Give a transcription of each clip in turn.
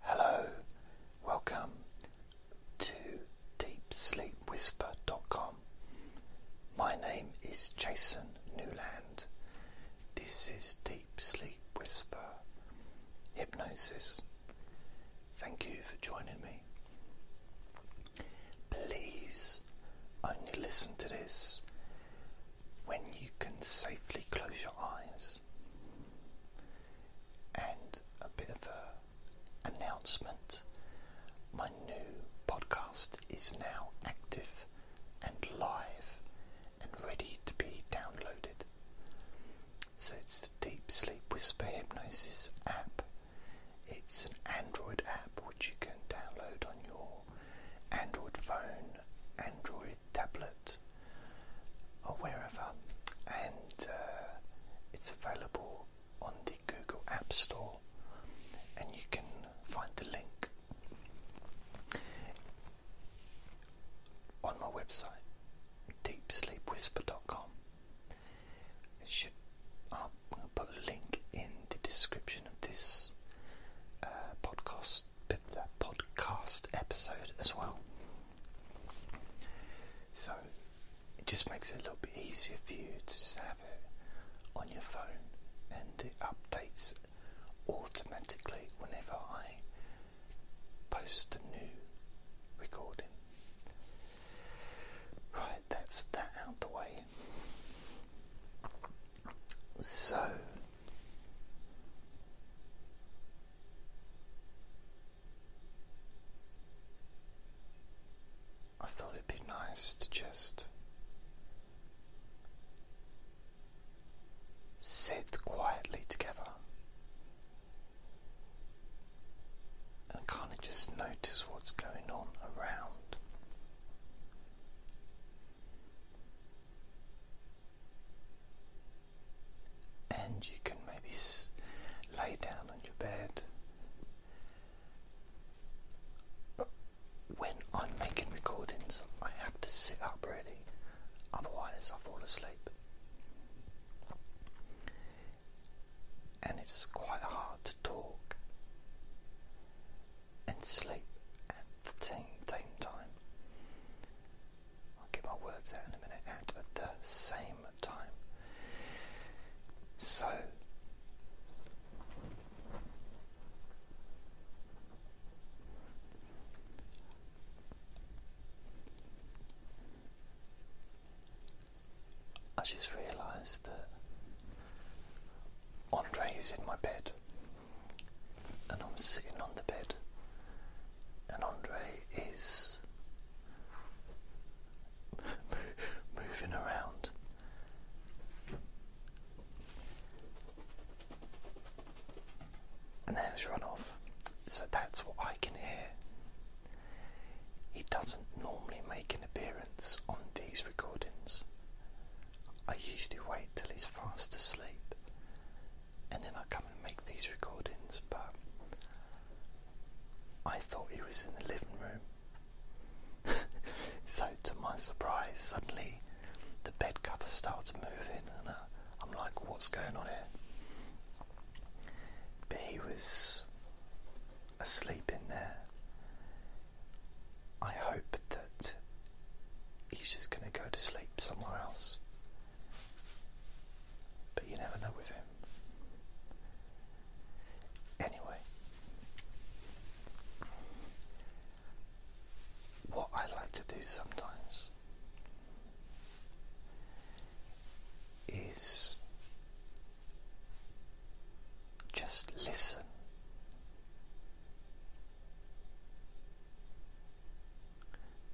Hello, welcome to DeepSleepWhisper.com. My name is Jason Newland. This is Deep Sleep Whisper Hypnosis. Thank you for joining me. Please only listen to this when you can safely close your eyes and a bit of a announcement. My new podcast is now active and live and ready to be downloaded. So it's the Deep Sleep Whisper Hypnosis app. It's an Android app which you can download on your Android phone, Android tablet or wherever, and uh, it's available on the Google App Store, and you can find the link on my website, deepsleepwhisper.com. It should i put a link in the description of this uh, podcast podcast podcast episode as well. So it just makes it a little bit easier for you to just have it on your phone and it updates automatically whenever I post a new recording. Right, that's that out the way. So I thought it'd be nice to just sit quietly together and kind of just notice what's going on around. And you can maybe lay down on your bed. When I'm making recordings, I have to sit up really, otherwise, I fall asleep. And it's quite hard to talk and sleep at the same time. I'll get my words out in a minute at the same time. So, I just realised that Andre is in my bed and I'm sitting on the bed, and Andre is moving around. And now it's run off, so that's what I can hear. He doesn't normally make an appearance on these recordings. I usually wait till he's fast asleep and then I come and make these recordings, but I thought he was in the living room. so, to my surprise, suddenly the bed cover starts moving, and uh, I, am like, what's going on here? But he was asleep in there. I hope that he's just going to go to sleep somewhere else. But you never know with him. Anyway, what I like to do sometimes is just listen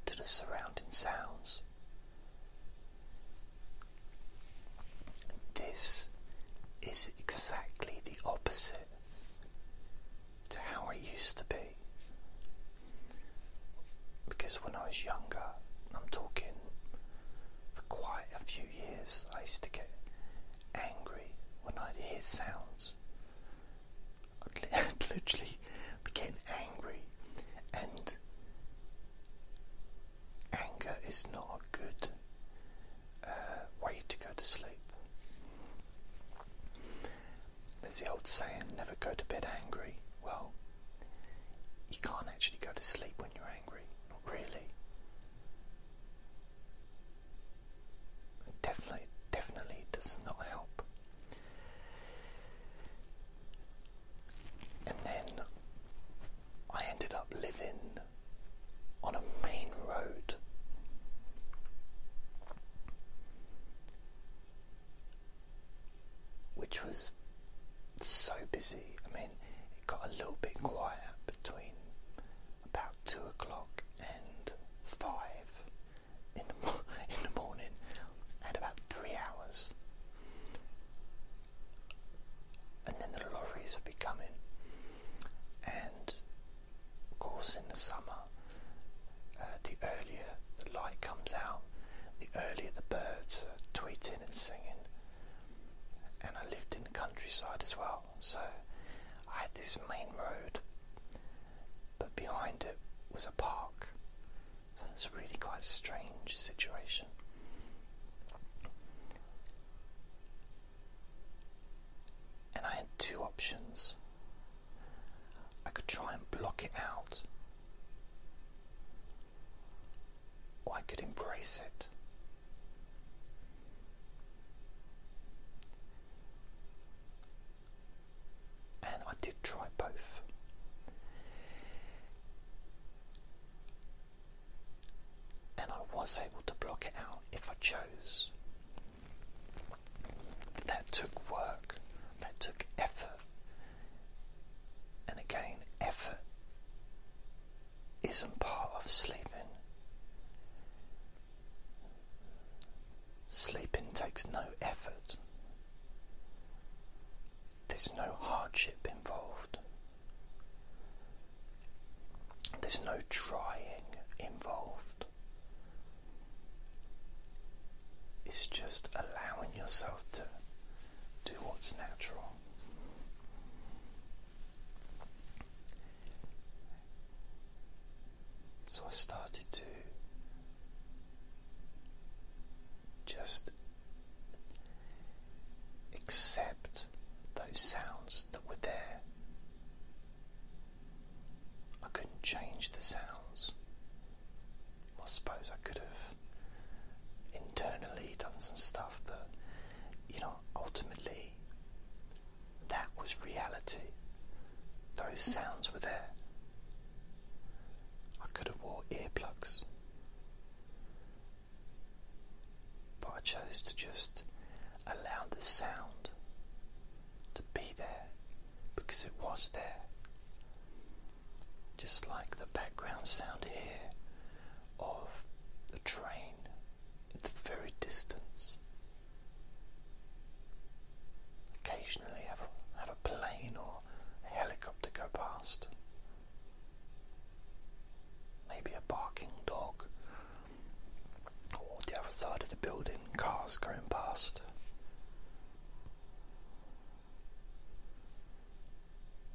to the surrounding sounds. This is exactly the opposite to how it used to be. Because when I was younger, I'm talking for quite a few years, I used to get angry when I'd hear sounds. I'd literally be angry, and anger is not a good uh, way to go to sleep. There's the old saying, never go to bed angry. Well, you can't actually go to sleep when you're angry, not really. It definitely, definitely does not help. And then I ended up living on a main road. Which was so busy. I mean, it got a little bit quiet between about two o'clock and five, in the, morning. I about three hours. And then the lorries would be coming. And of course, in the summer, uh, the earlier the light comes out, the earlier the birds are tweeting and singing. And I lived in the countryside as well, so I had this main road but behind it was a park. So it's really quite strange situation. And I had two options. I could try and block it out, or I could embrace it and I did try both. And I was able to block it out if I chose. that took work, that took effort. And again, effort isn't part of sleeping. Sleeping takes no effort. There's no hardship involved. There's no trying involved. It's just allowing yourself to do what's natural. So I started to just accept those sounds that were there. I couldn't change the sounds. I suppose I could have internally done some stuff, but you know, ultimately, that was reality. Those sounds were there. I could have wore earplugs. But I chose to just allow the sound to be there because it was there. Just like the background sound here of the train in the very distance. Occasionally have a, have a plane or a helicopter go past. Maybe a barking dog. Or the other side of the building, cars going past.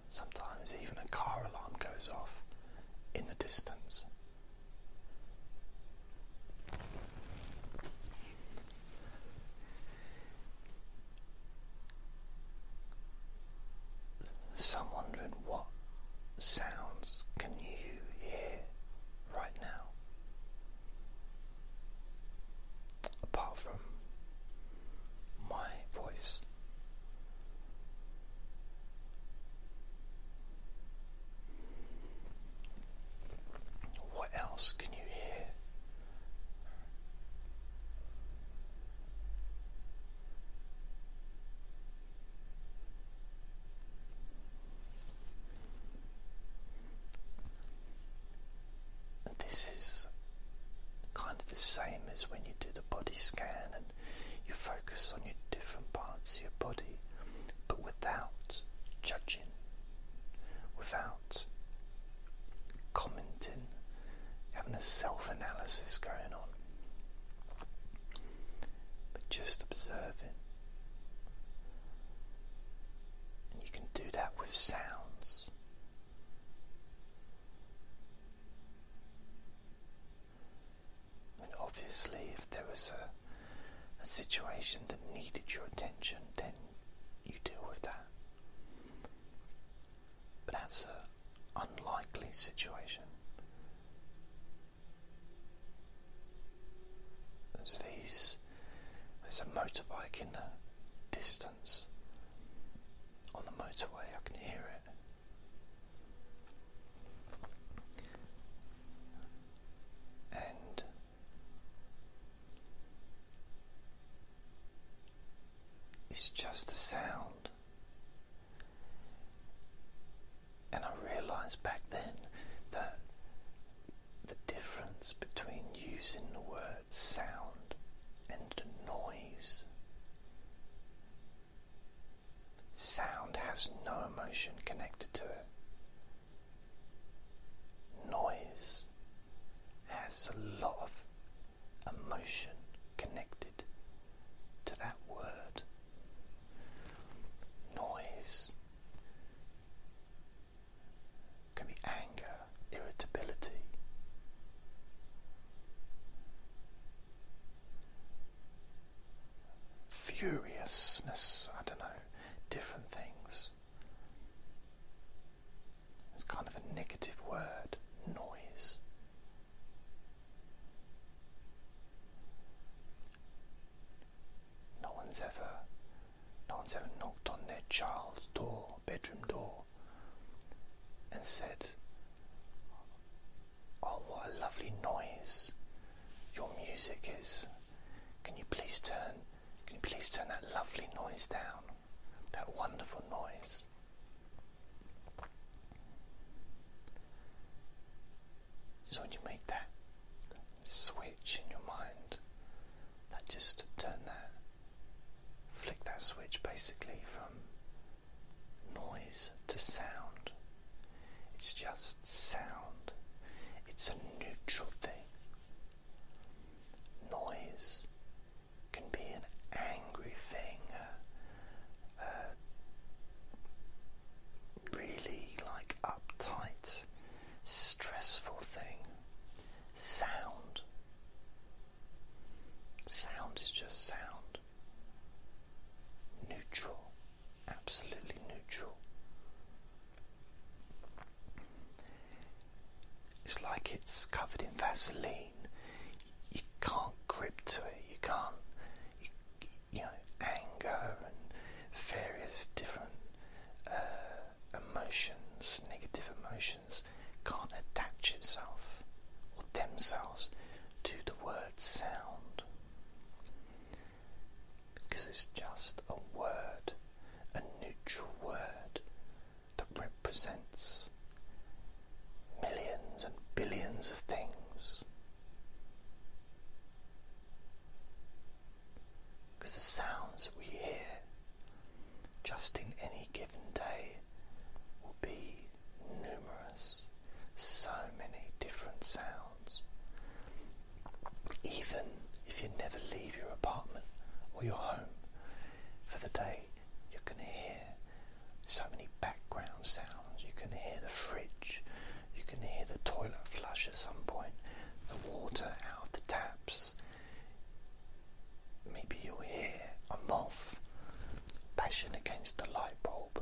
Sometimes even a car alarm goes off in the distance. So I'm wondering what sounds can you hear right now? Apart from my voice. What else can you hear? this is kind of the same as when you do the body scan and you focus on your different parts of your body, but without judging without commenting, having a self analysis going on, but just observing. And you can do that with sounds. And obviously, if there was a a situation that needed your attention, then you deal with that. But that's an unlikely situation. There's these, there's a motorbike in the distance on the motorway, I can hear it and it's just a sound. And I realized back then that the difference between using the word sound and noise. Sound has no emotion connected to it. Noise has a lot of emotion connected to that word. Noise can be anger, irritability. Furiousness, I don't know different things. It's kind of a negative word, noise. No one's ever no one's ever knocked on their child's door, bedroom door, and said, Oh, what a lovely noise your music is. Can you please turn can you please turn that lovely noise down? That wonderful noise. So when you make that switch in your mind, that just turn that flick that switch basically from noise to sound it's just sound. It's a neutral thing. Noise can be an angry thing, uh, really like uptight, stressful thing. Sound. Sound is just sound. Neutral absolutely neutral. It's like it's covered in Vaseline. You can't grip to it. You can't, you, know, anger and various different uh, emotions, negative emotions, can't attach itself or themselves to the word sound because it's just a word, a neutral word that represents millions and billions of things. Because the sounds we hear just in any given day will be numerous, so many different sounds. Even if you never leave your apartment or your home for the day, you can hear so many background sounds. You can hear the fridge, you can hear the toilet flush at some point, the water out of the taps. Maybe you'll hear a moth bashing against the light bulb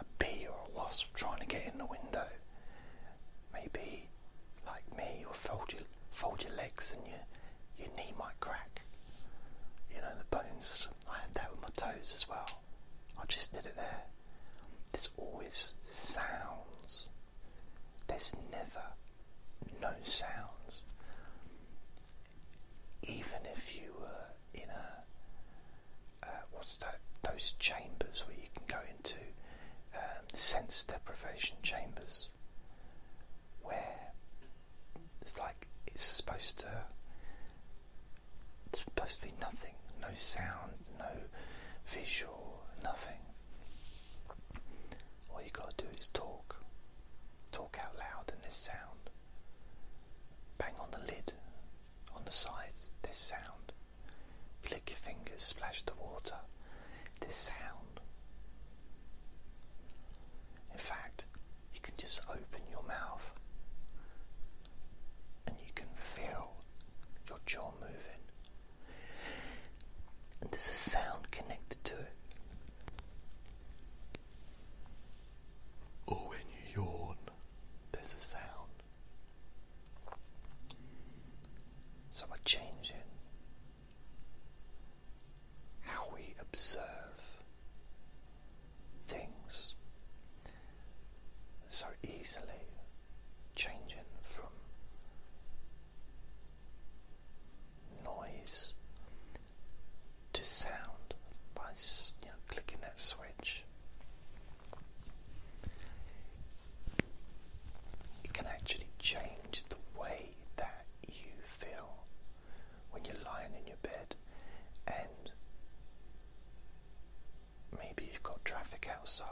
a bee or a wasp trying to get in the window. Maybe, like me, you'll fold your, fold your legs and your, your knee might crack. You know, the bones, I had that with my toes as well. I just did it there. There's always sounds. There's never no sounds. Even if you were in a uh, what's that? Those chambers where you can go into um, sense deprivation chambers, where it's like it's supposed to it's supposed to be nothing, no sound, no visual, nothing. All you gotta do is talk, talk out loud, in this sound. Bang on the lid, on the sides, this sound. Click your fingers, splash the water, this sound. In fact, you can just open your mouth and you can feel your jaw moving. And there's a sound connected to it. Or when you yawn, there's a sound. So we're changing how we observe things so easily, changing from noise to sound by clicking that switch. It can actually change the way that you feel when you're lying in your bed, and maybe you've got traffic outside.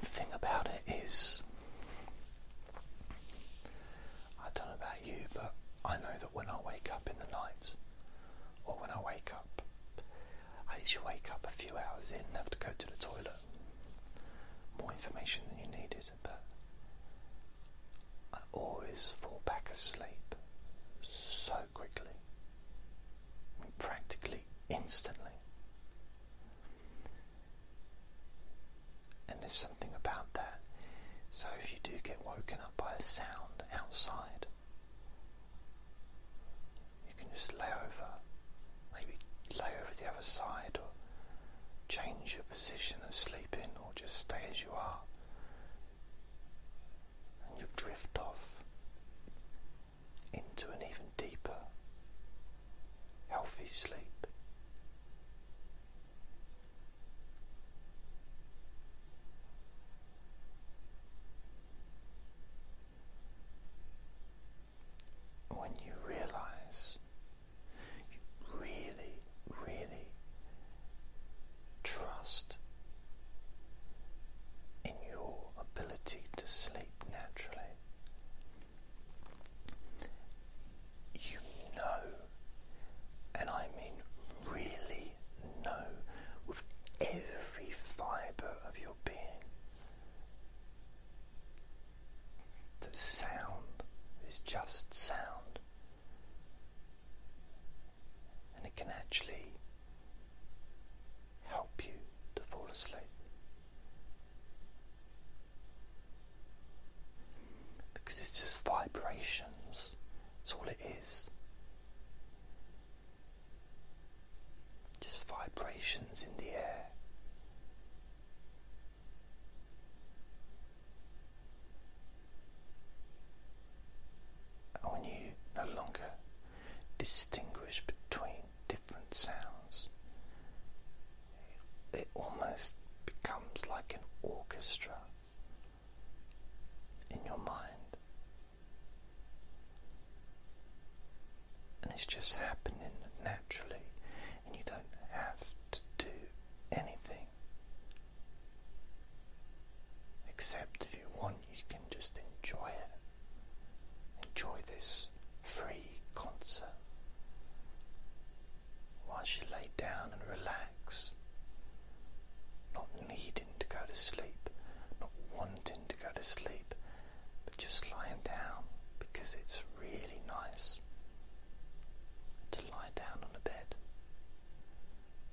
the thing about it is, I don't know about you, but I know that when I wake up in the night, or when I wake up, I usually wake up a few hours in and have to go to the toilet. More information than you needed, but I always fall back asleep so quickly, practically instantly. And there's something about that. So if you do get woken up by a sound outside, you can just lay over, maybe lay over the other side or change your position and sleep in or just stay as you are. And you drift off into an even deeper healthy sleep. When you realize you really, really trust in your ability to sleep naturally, you know, and I mean really know with every fibre of your being that sound is just sound. And it can actually help you to fall asleep. Because it's just vibrations, that's all it is. Just vibrations in the air. And when you no longer distinguish between different sounds, it almost becomes like an orchestra in your mind. And it's just happening naturally, and you don't have to do anything. Except if you want, you can just enjoy it. Enjoy this free concert. Once you lay down and relax, not needing to go to sleep, not wanting to go to sleep, but just lying down because it's really nice to lie down on a bed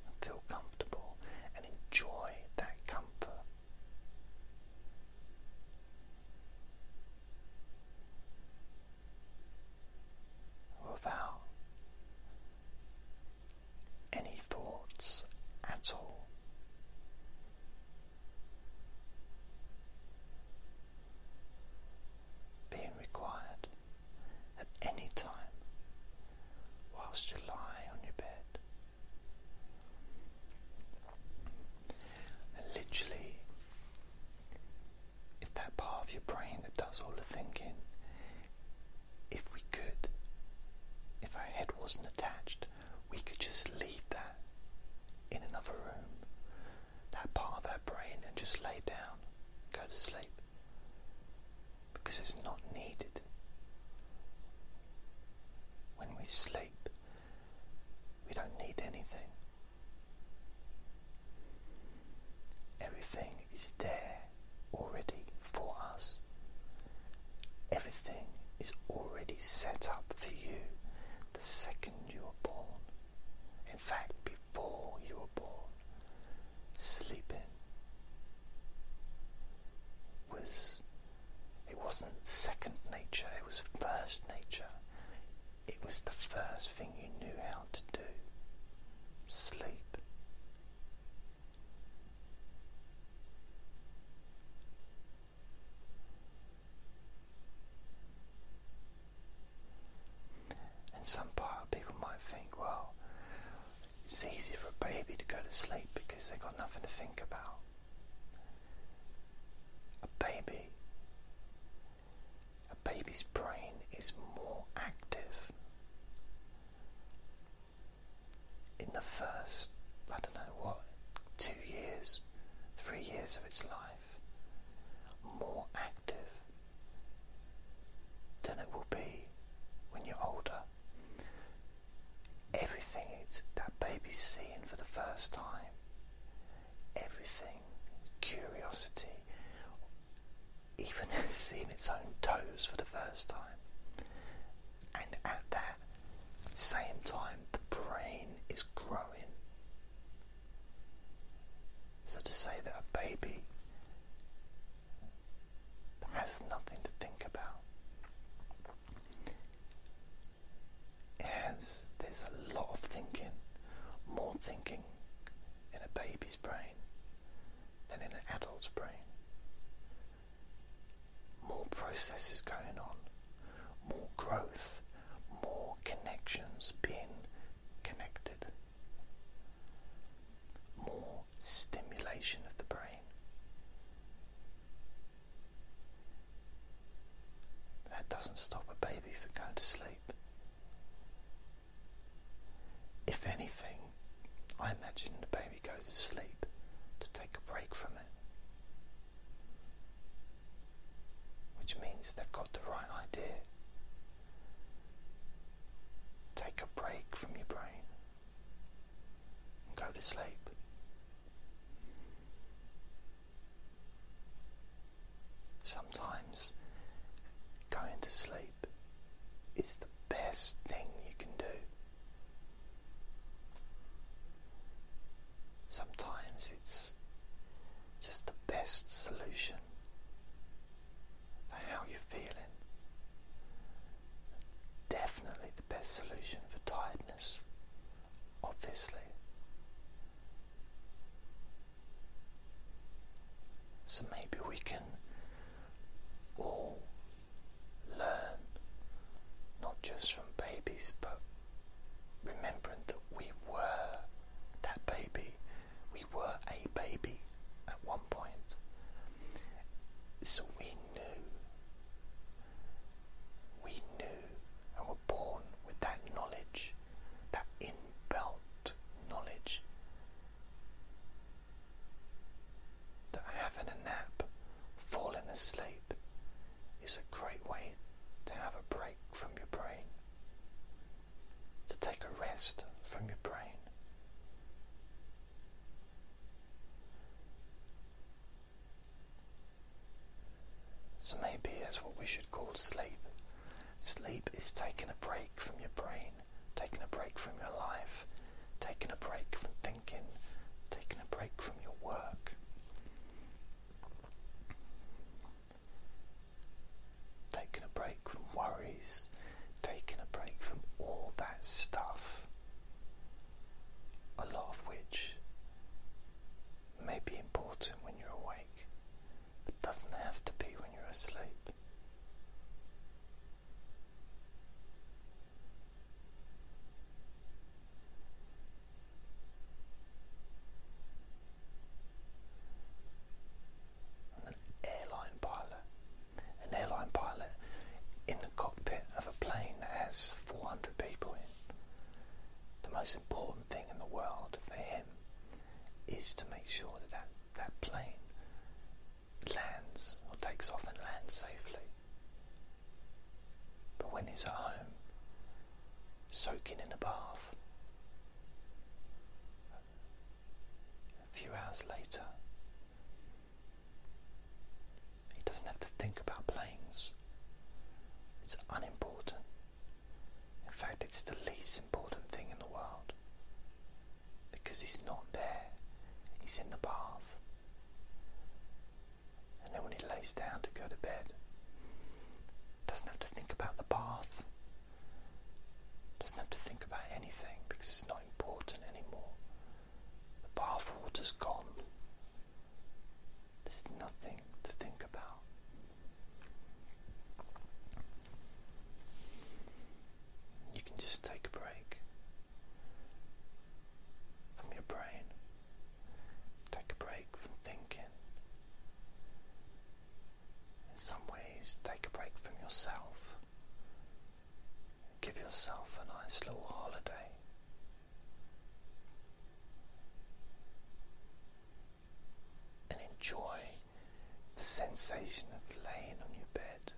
and feel comfortable and enjoy that comfort without any thoughts at all. Being required at any time whilst you lie on your bed. literally if that part of your brain that does all the thinking, if we could, if our head wasn't attached, we could just leave that in another room, that part of our brain, and just lay down, go to sleep, because it's not needed. When we sleep, we don't need anything. Everything is there already for us. Everything is already set up for you the second you were born. In fact, before you were born, sleeping was, it wasn't second nature, it was first nature it was the first thing you knew how to do sleep. And some part people might think, well, it's easy for a baby to go to sleep because they've got nothing to think about. A baby a baby's brain is more active in the first, I don't know what, two years, three years of its life, more active than it will be when you're older. Everything it's, that baby's seeing for the first time everything, curiosity, even seeing its own toes for the first time. And at that same time, the brain is growing. So to say that a baby has nothing to think about it there's a lot of thinking, more thinking in a baby's brain than in an adult's brain. More processes going on, more growth, more connections being connected, more stimulation of the brain. That doesn't stop a baby from going to sleep. If anything, I imagine the baby goes to sleep to take a break from it. Which means they've got the right idea. Take a break from your brain and go to sleep. Sometimes going to sleep is the best thing you can do. Sometimes it's just the best solution for how you're feeling. Definitely the best solution for tiredness, obviously. So maybe we can all learn, not just from babies, but remembering that we were that baby, we were a baby at one point. So we knew, we knew, born with that knowledge, that inbuilt knowledge, that having a nap, falling asleep, is a great way to have a break from your brain, to take a rest from your brain. So maybe that's what we should call sleep. Sleep is taking a break from your brain, taking a break from your life, taking a break from thinking, taking a break from your work. Taking a break from worries, taking a break from all that stuff, a lot of which may be important when you're awake, but doesn't have to be when you're asleep. An airline pilot. An airline pilot in the cockpit of a plane that has 400 people in. The most important thing in the world for him is to make sure that that, that plane lands or takes off and lands safely. But when he's at home, soaking in a bath, a few hours later, he doesn't have to think about planes. It's unimportant. In fact, it's the least important thing in the world. Because he's not there, he's in the bath. And then when he lays down to go to bed, doesn't have to think about the bath, doesn't have to think about anything because it's not important anymore. The bath water's gone. There's nothing to think about. You can just take a break from your brain, take a break from thinking. In some ways, take a break from yourself. Give yourself a nice little holiday and enjoy the sensation of laying on your bed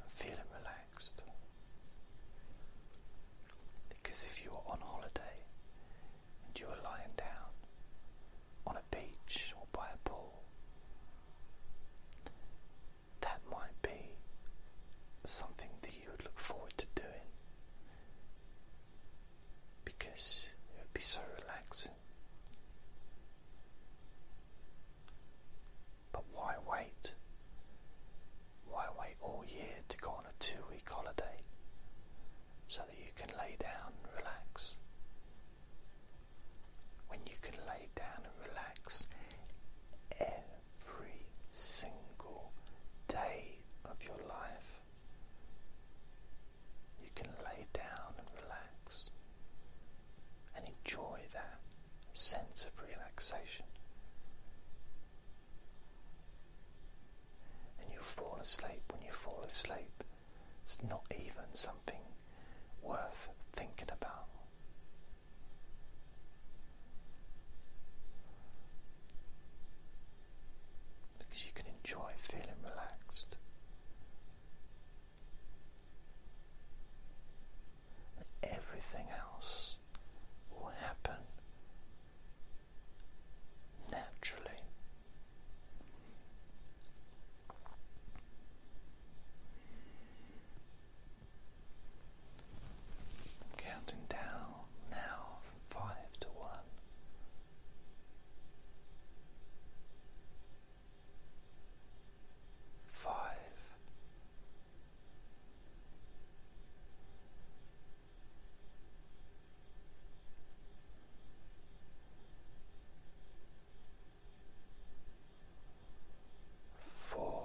and feeling relaxed. Because if you are on holiday and you are lying down on a beach or by a pool, that might be something you would look forward to doing because it would be so relaxing. But why wait? Why wait all year to go on a two week holiday so that you can lay down and relax? When you can lay down and relax every every single day of your life. You can lay down and relax and enjoy that sense of relaxation. And you fall asleep. When you fall asleep, it's not even something worth thinking about. Because you can enjoy feeling relaxed. And everything else will happen naturally counting down now from five to one. Five, four